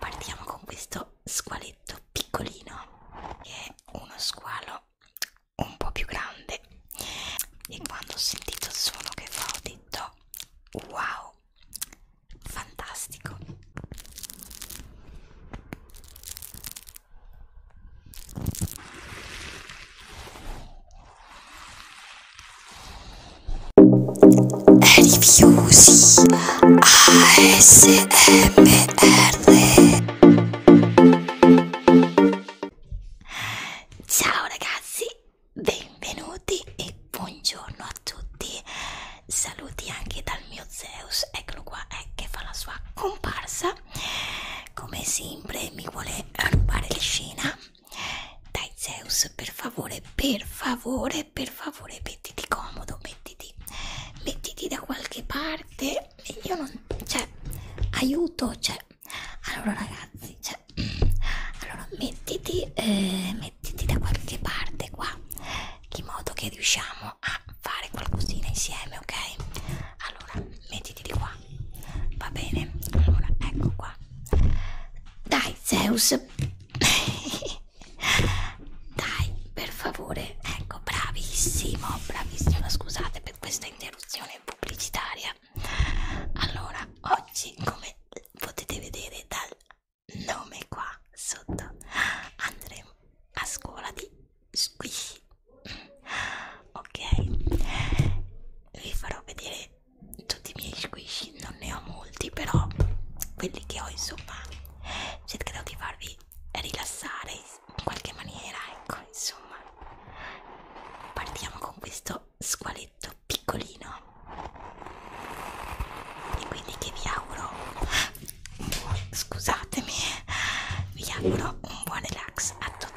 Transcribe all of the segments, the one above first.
Partiamo con questo squaletto piccolino, che è uno squalo un po' più grande. E quando ho sentito il suono che fa, ho detto wow, fantastico! Rifiusi ASMR Ciao ragazzi, benvenuti e buongiorno a tutti. Saluti anche dal mio Zeus, eccolo qua, eh, che fa la sua comparsa. Come sempre mi vuole rubare la scena. Dai Zeus, per favore, per favore, eh, per favore mettiti comodo, mettiti, mettiti da qualche parte. Io non, cioè, aiuto, cioè, allora ragazzi, cioè, allora mettiti, eh, mettiti da qualche parte qua, in modo che riusciamo a fare qualcosina insieme, ok? Allora, mettiti di qua, va bene? Allora, ecco qua. Dai, Zeus. dai per favore ecco bravissimo bravissimo scusate per questa interruzione pubblicitaria allora oggi come potete vedere dal nome qua sotto andremo a scuola di squishy ok vi farò vedere tutti i miei squishy non ne ho molti però quelli che ho insomma cercherò di farvi rilassare in qualche maniera ecco insomma partiamo con questo squaletto piccolino e quindi che vi auguro scusatemi vi auguro un buon relax a tutti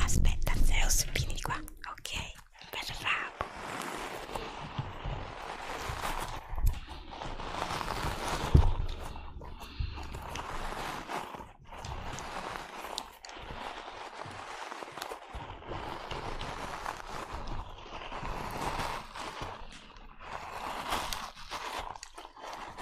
Aspetta, Zeus, vieni di qua, ok? Bravo.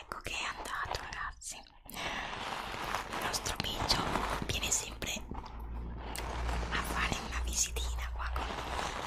Ecco che è andato ragazzi. Il nostro Biggio viene sempre a fare una visitina qua con noi.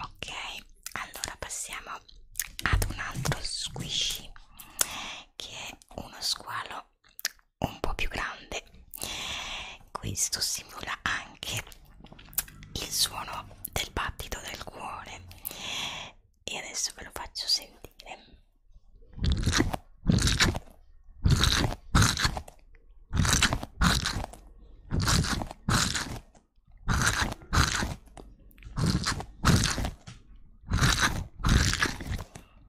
Ok, allora passiamo ad un altro squishy che è uno squalo però un po' più grande questo simula anche il suono del battito del cuore e adesso ve lo faccio sentire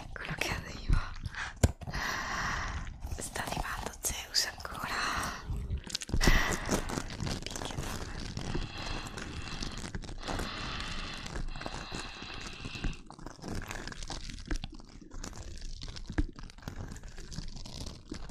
Eccolo che arriva. Sta arrivando Zeus ancora.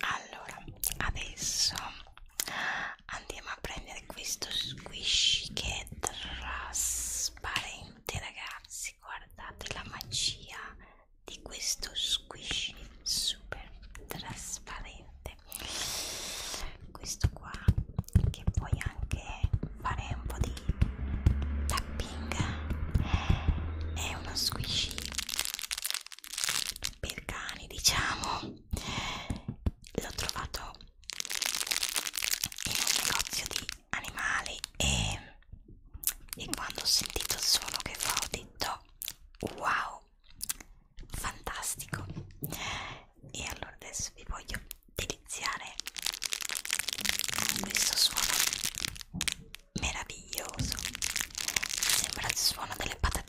allora adesso andiamo a prendere questo squishy che è trasparente ragazzi guardate la magia di questo squishy super trasparente questo qua che puoi anche fare un po' di tapping è uno squishy per cani diciamo l'ho trovato in un negozio di animali e, e quando ho sentito il suono che fa ho detto wow fantastico e allora adesso vi voglio deliziare con questo suono meraviglioso Sembra il suono delle patatine.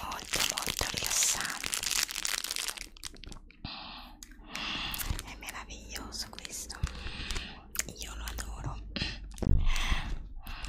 molto molto rilassante è meraviglioso questo io lo adoro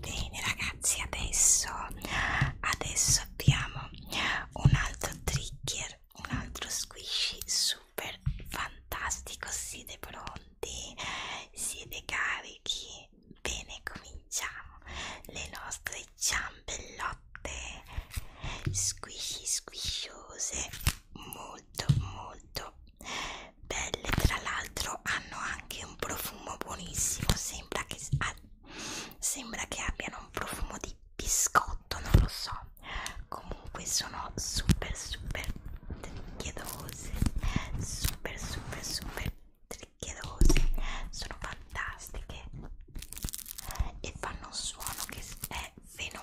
Bene ragazzi, adesso, adesso abbiamo un altro trigger, un altro squishy su super fantastico, siete pronti? Siete carichi? Bene, cominciamo le nostre ciambellotte squisci squisciose, molto molto belle. Tra l'altro hanno anche un profumo buonissimo, sembra che, sembra che abbiano un profumo di biscotto prodotto non lo so comunque sono super super tricchiedose super super super tricchiedose sono fantastiche e fanno un suono che è fenomenale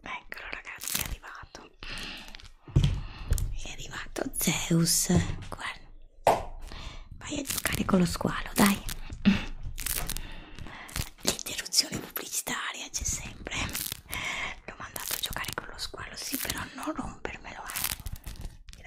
Eccolo ragazzi, è arrivato. È arrivato Zeus. Guarda. Vai a giocare con lo squalo, dai. L'interruzione pubblicitaria c'è sempre. L'ho mandato a giocare con lo squalo, sì, però non rompermelo, eh.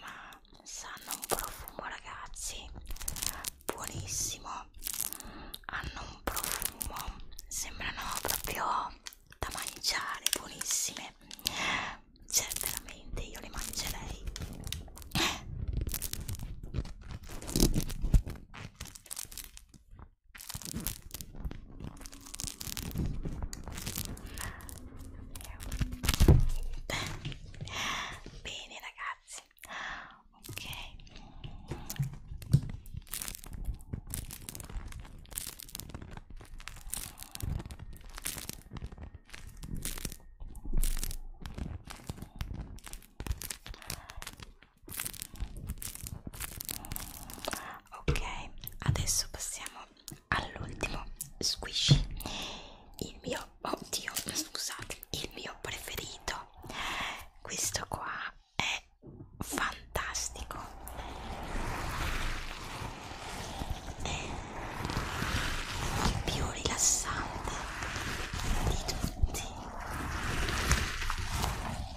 ma sanno un profumo ragazzi buonissimo hanno un profumo sembrano proprio da mangiare buonissime cioè veramente io le mangerei Bene ragazzi, ok ok adesso passiamo all'ultimo squishy il mio oddio scusate il mio preferito questo qua è fantastico è più rilassante di tutti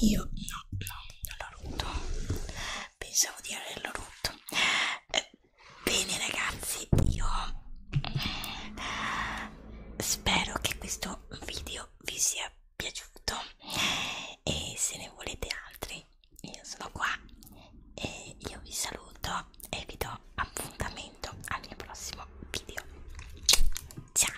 Dio, no, no, non l'ho rotto. Pensavo di averlo rotto. Eh, bene ragazzi, io spero che questo video vi sia piaciuto e se ne volete altri io sono qua e io vi saluto e vi do appuntamento al mio prossimo video ciao